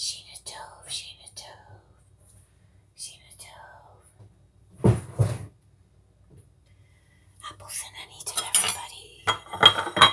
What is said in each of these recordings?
Sheena Tove, Sheena Tove, Sheena Tove. Apples and honey to everybody.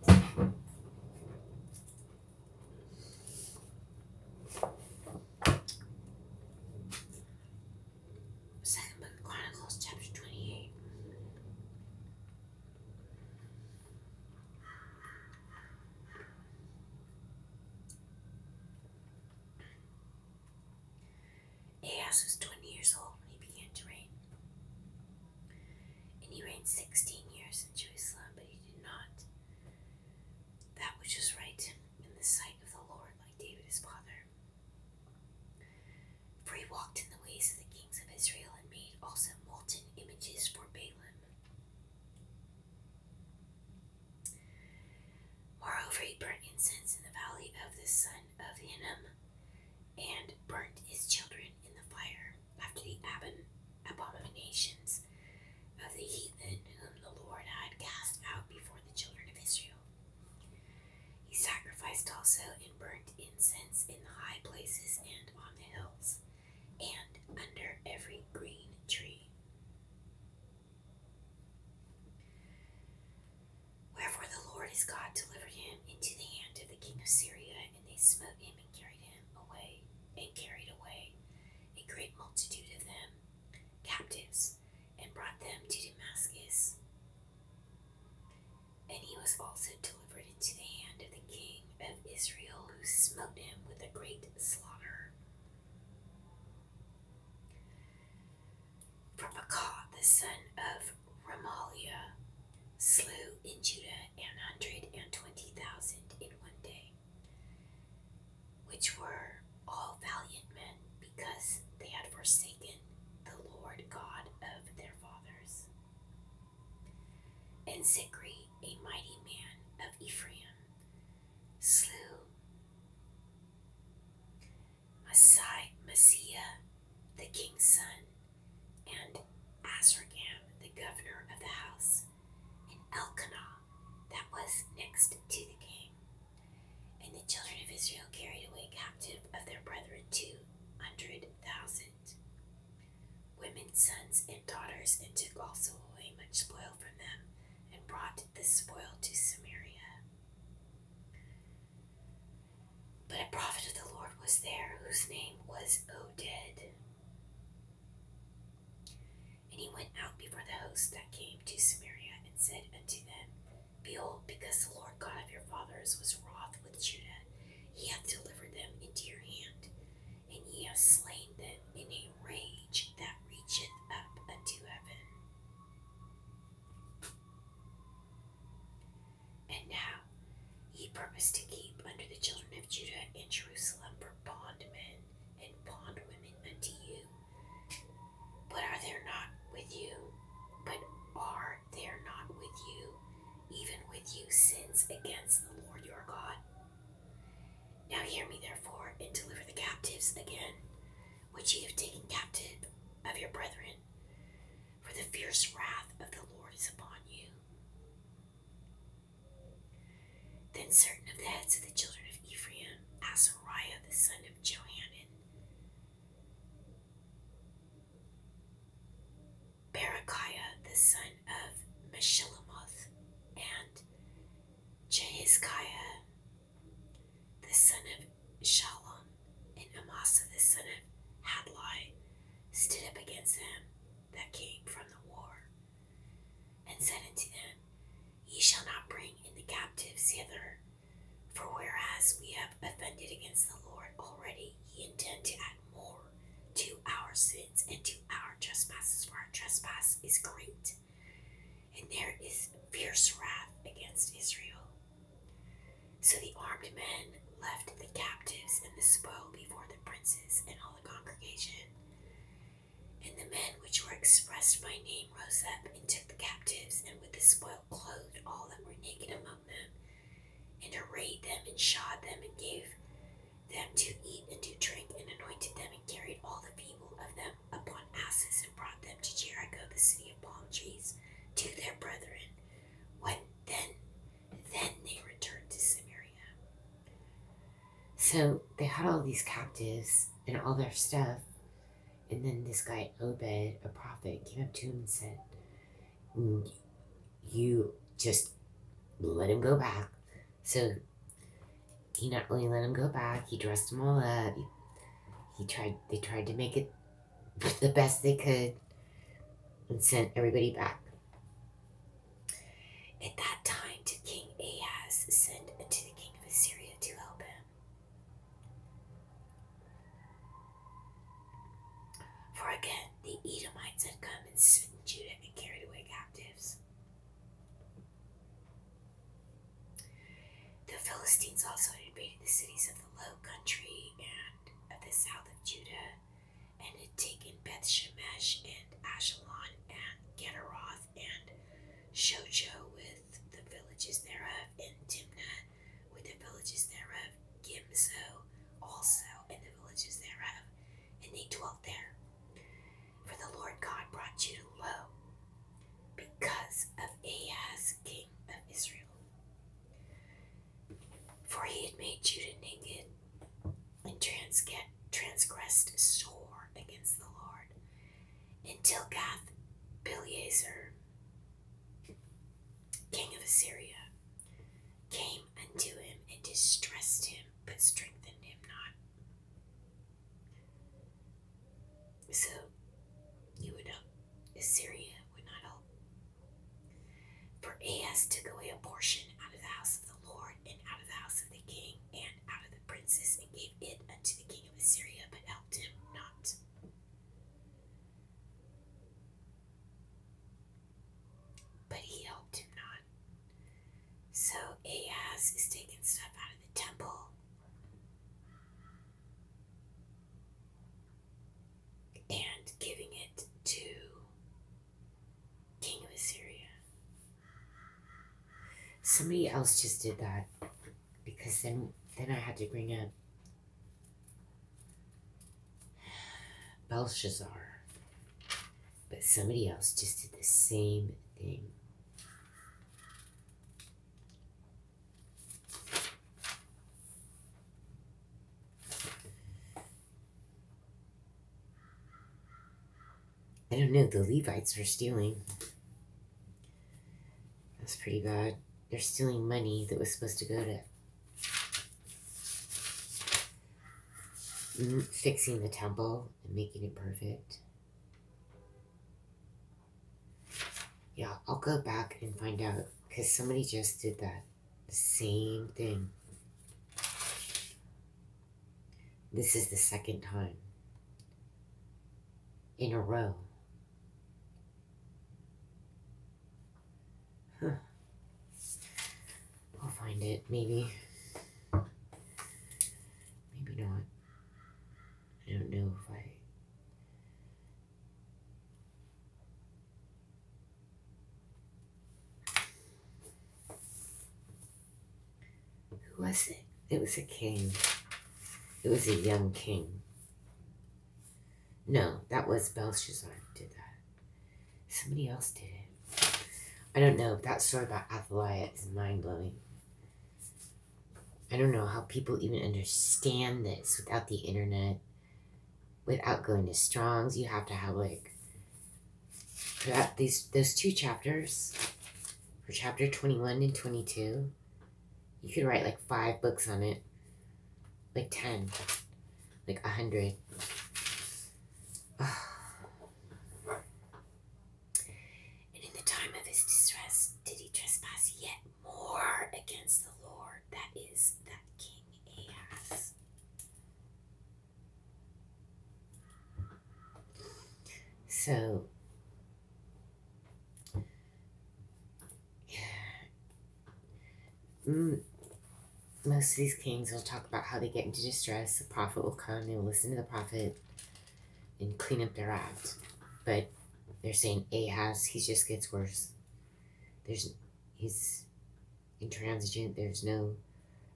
Second Book of Chronicles, chapter 28. Ahaz was 20 years old he began to reign. And he reigned sixteen years in Jerusalem, but he did not that which was right in the sight of the Lord, like David his father. For he walked in the ways of the kings of Israel and made also molten images for Balaam. Moreover, he burnt incense in the valley of the son of Hinnom and burnt his children in the fire after the abominations of the heathen whom the Lord had cast out before the children of Israel. He sacrificed also and burnt incense in the high places and on the hills, and under every green tree. Wherefore the Lord his God delivered him into the hand of the king of Syria, and they smote him and carried him away and carried away a great multitude of them captives and brought them to Damascus. And he was also delivered into the hand of the king of Israel, who smote him with a great slaughter. From Acah, the son of Ramaliah, slew in Judah an hundred and twenty thousand in one day, which were all valiant men, because they had forsaken the Lord God of their fathers. And Zikri, a mighty man of Ephraim, slew Masai, Messiah, the king's son, and Azragam, the governor of the house, and Elkanah, that was next to the king. And the children of Israel carried away captive of their brethren two hundred thousand women, sons, and daughters, and took also away much spoil from them, and brought the spoil to Samaria. But a prophet of the Lord was there, whose name was Oded. And he went out before the host that came to Samaria and said unto them, Behold, because the Lord God of your fathers was wroth with Judah, he hath delivered them into your hand, and ye have slain them in a rage that reacheth up unto heaven. And now, he purposed to keep under the children of Judah in Jerusalem for bondmen and bondwomen unto you. But are there not with you? But are there not with you, even with you, sins against the Lord your God? Now hear me, therefore, and deliver the captives again, which ye have taken captive of your brethren, for the fierce wrath of the Lord is upon you. Then certain of the heads of the children of Ephraim, Azariah the son of Johanan, Barakiah the son of Meshillemoth, and Jehizkiah the son of Shallum, and Amasa the son of Hadlai, stood up against them that came from the war, and said unto them, Ye shall not bring in the captives hither, for whereas we have offended against the Lord already, ye intend to add more to our sins and to our trespasses, for our trespass is great, and there is fierce wrath against Israel. So the armed men left the captives and the spoil before the princes and all the congregation. And the men which were expressed by name rose up and took the captives, and with the spoil clothed all that were naked among them, and arrayed them, and shod them, and gave them to eat and to drink, and anointed them, and carried all the people of them upon asses, and brought them to Jericho, the city of palm trees, to their brethren. When then then they returned to Samaria. So they had all these captives and all their stuff. And then this guy, Obed, a prophet, came up to him and said, mm, You just let him go back. So he not only let him go back, he dressed him all up. He, he tried, they tried to make it the best they could and sent everybody back. At that time did King Ahaz send unto the king of Assyria to help him. For again the Edomites had come and smitten Judah and carried away captives. The Philistines also invaded the cities of the low country and of the south of Judah and had taken Beth Shemesh and Ashalon and Gederoth and Shocho with the villages thereof, and Timnah with the villages thereof, Gimzo also and the villages thereof, and they dwelt there. For the Lord God brought you to low because of Ahas, king of Israel. For he had made Judah naked and transgressed sore against the Lord until Gath Beliezer, king of Assyria, came unto him and distressed him, but strengthened him not. So you would know, Assyria would not help. For Ahaz took away a portion out of the house of the Lord and out of the house of the king, and out of the princes, and gave it unto the king of Assyria, but helped him not. But he helped him not. So Ahaz is taking stuff out of the temple. And giving it to King of Assyria. Somebody else just did that because then then I had to bring in Belshazzar. But somebody else just did the same thing. I don't know, the Levites were stealing. That's pretty bad. They're stealing money that was supposed to go to mm, fixing the temple and making it perfect. Yeah, I'll go back and find out because somebody just did that. Same thing. This is the second time in a row. I'll find it, maybe. Maybe not. I don't know if I. Who was it? It was a king. It was a young king. No, that was Belshazzar did that. Somebody else did it. I don't know. That story about Athaliah is mind blowing. I don't know how people even understand this without the internet, without going to Strong's. You have to have like that these those two chapters for chapter 21 and 22 you could write like five books on it like 10 like 100 and in the time of his distress did he trespass yet more against the lord that is that king ahaz so, mm, most of these kings will talk about how they get into distress. The prophet will come, they will listen to the prophet and clean up their act. But they're saying Ahas he just gets worse. There's, he's intransigent, there's no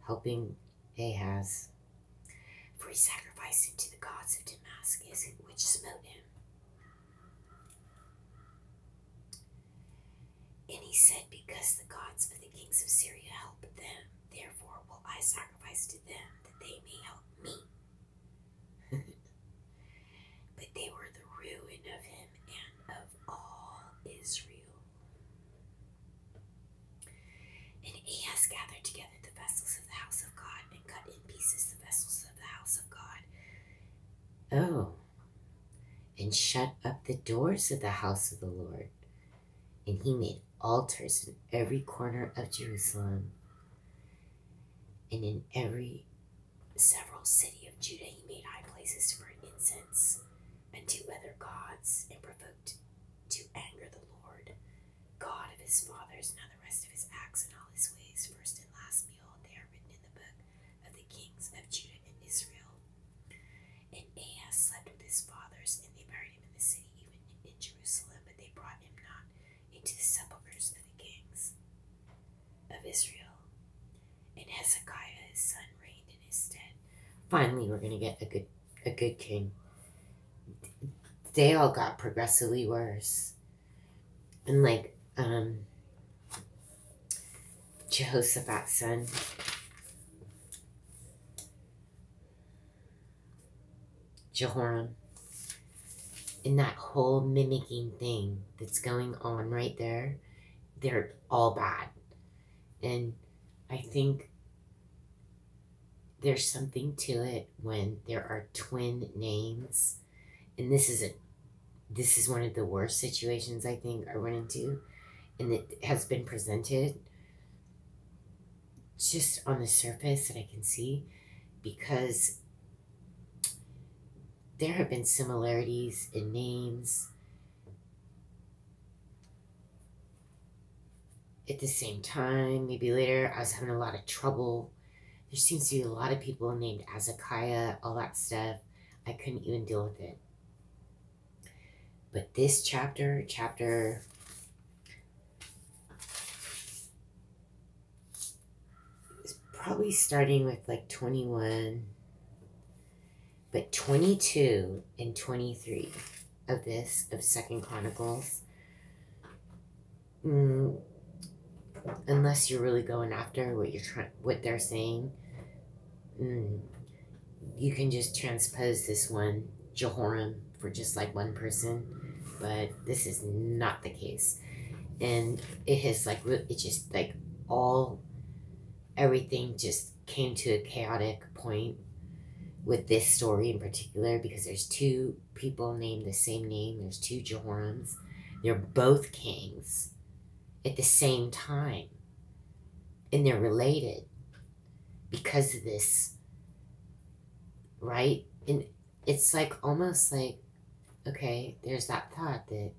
helping Ahaz. For he sacrificed to the gods of Damascus, which smote him. And he said, Because the gods of the kings of Syria help them, therefore will I sacrifice to them that they may help me. but they were the ruin of him and of of all Israel. And Ahaz gathered together the vessels of the house of God and cut in pieces the vessels of the house of God. Oh, and shut up the doors of the house of the Lord. And he made altars in every corner of Jerusalem and in every several city of Judah he made high places for incense and to other gods, and provoked to anger the Lord, God of his fathers, and all the rest of his acts and all his ways, first and last behold, they are written in the book of the kings of Judah and Israel. And Ahas slept with his fathers, and they buried him in the city, even in Jerusalem, but they brought him not into the sepulchres of the kings of Israel. And Hezekiah his son reigned in his stead. Finally, we're gonna get a good a good king. They all got progressively worse, and like um, Jehoshaphat's son. Jehoram and that whole mimicking thing that's going on right there, they're all bad. And I think there's something to it when there are twin names. And this is a this is one of the worst situations I think I run into and it has been presented just on the surface that I can see because there have been similarities in names at the same time, maybe later, I was having a lot of trouble. There seems to be a lot of people named Azakaya, all that stuff. I couldn't even deal with it. But this chapter, chapter is probably starting with like 21 but 22 and 23 of this, of Second Chronicles, mm, unless you're really going after what you're trying, what they're saying, mm, you can just transpose this one Jehoram for just like one person, but this is not the case, and it has like it just like all everything just came to a chaotic point with this story in particular because there's two people named the same name. There's two Jorams. They're both kings at the same time. And they're related because of this, right? And it's like almost like, okay, there's that thought that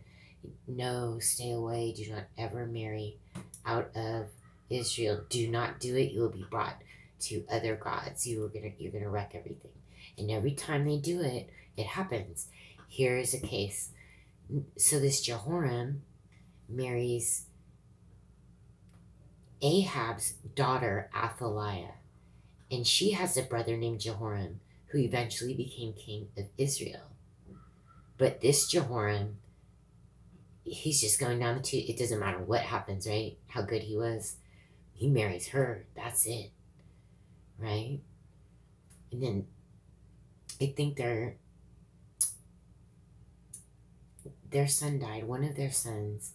no, stay away, do not ever marry out of Israel, do not do it. You will be brought to other gods. You are gonna you're gonna wreck everything. And every time they do it, it happens. Here is a case. So this Jehoram marries Ahab's daughter Athaliah, and she has a brother named Jehoram who eventually became king of Israel. But this Jehoram he's just going down the tube. It doesn't matter what happens, right? How good he was. He marries her. That's it. Right? And then I think their their son died, one of their sons,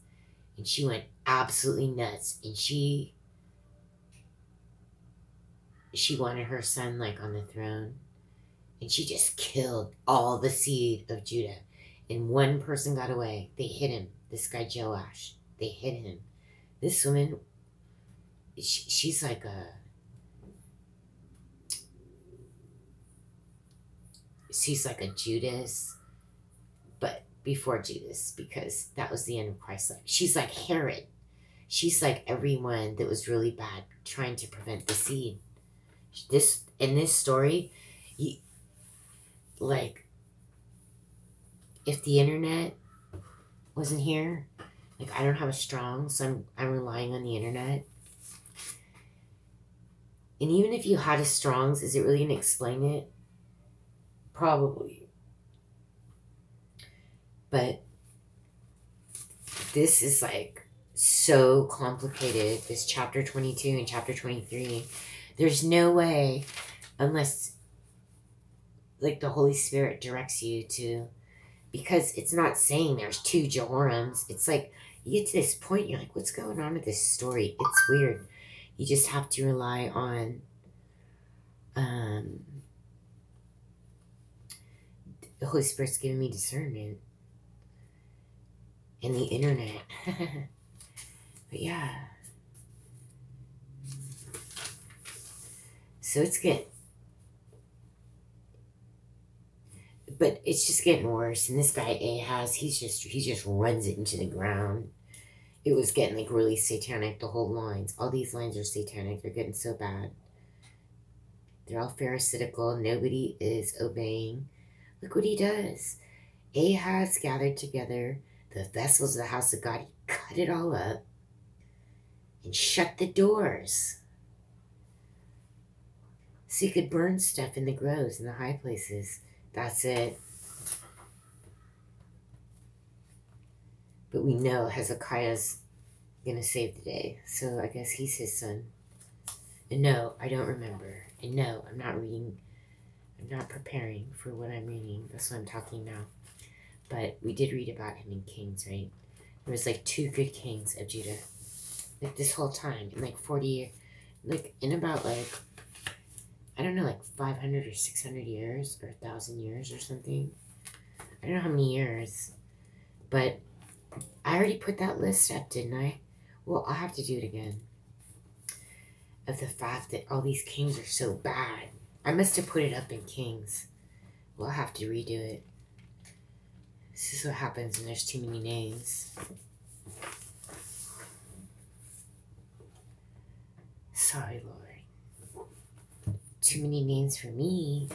and she went absolutely nuts and she she wanted her son like on the throne and she just killed all the seed of Judah. And one person got away. They hit him. This guy Joash. They hit him. This woman, she, she's like a. She's like a Judas, but before Judas, because that was the end of Christ's life. She's like Herod. She's like everyone that was really bad trying to prevent the seed this in this story, you, like if the internet wasn't here, like I don't have a strong, so I'm I'm relying on the internet. And even if you had a strongs, is it really gonna explain it? Probably. But this is like so complicated. This chapter 22 and chapter 23. There's no way, unless like the Holy Spirit directs you to, because it's not saying there's two Jehorims. It's like you get to this point, you're like, what's going on with this story? It's weird. You just have to rely on um, the Holy Spirit's giving me discernment and the internet. but yeah. So it's good. But it's just getting worse. And this guy Ahaz, he's just he just runs it into the ground. It was getting like really satanic, the whole lines. All these lines are satanic. They're getting so bad. They're all pharisaical. Nobody is obeying. Look what he does. Ahaz gathered together the vessels of the house of God. He cut it all up and shut the doors so he could burn stuff in the groves and the high places. That's it. But we know Hezekiah's going to save the day. So I guess he's his son no, I don't remember. And no, I'm not reading. I'm not preparing for what I'm reading. That's what I'm talking now. But we did read about him in Kings, right? There was like two good kings of Judah. Like this whole time. In like 40 years. Like in about like, I don't know, like 500 or 600 years or a 1,000 years or something. I don't know how many years. But I already put that list up, didn't I? Well, I'll have to do it again. Of the fact that all these kings are so bad. I must have put it up in kings. We'll have to redo it. This is what happens when there's too many names. Sorry, Lori. Too many names for me.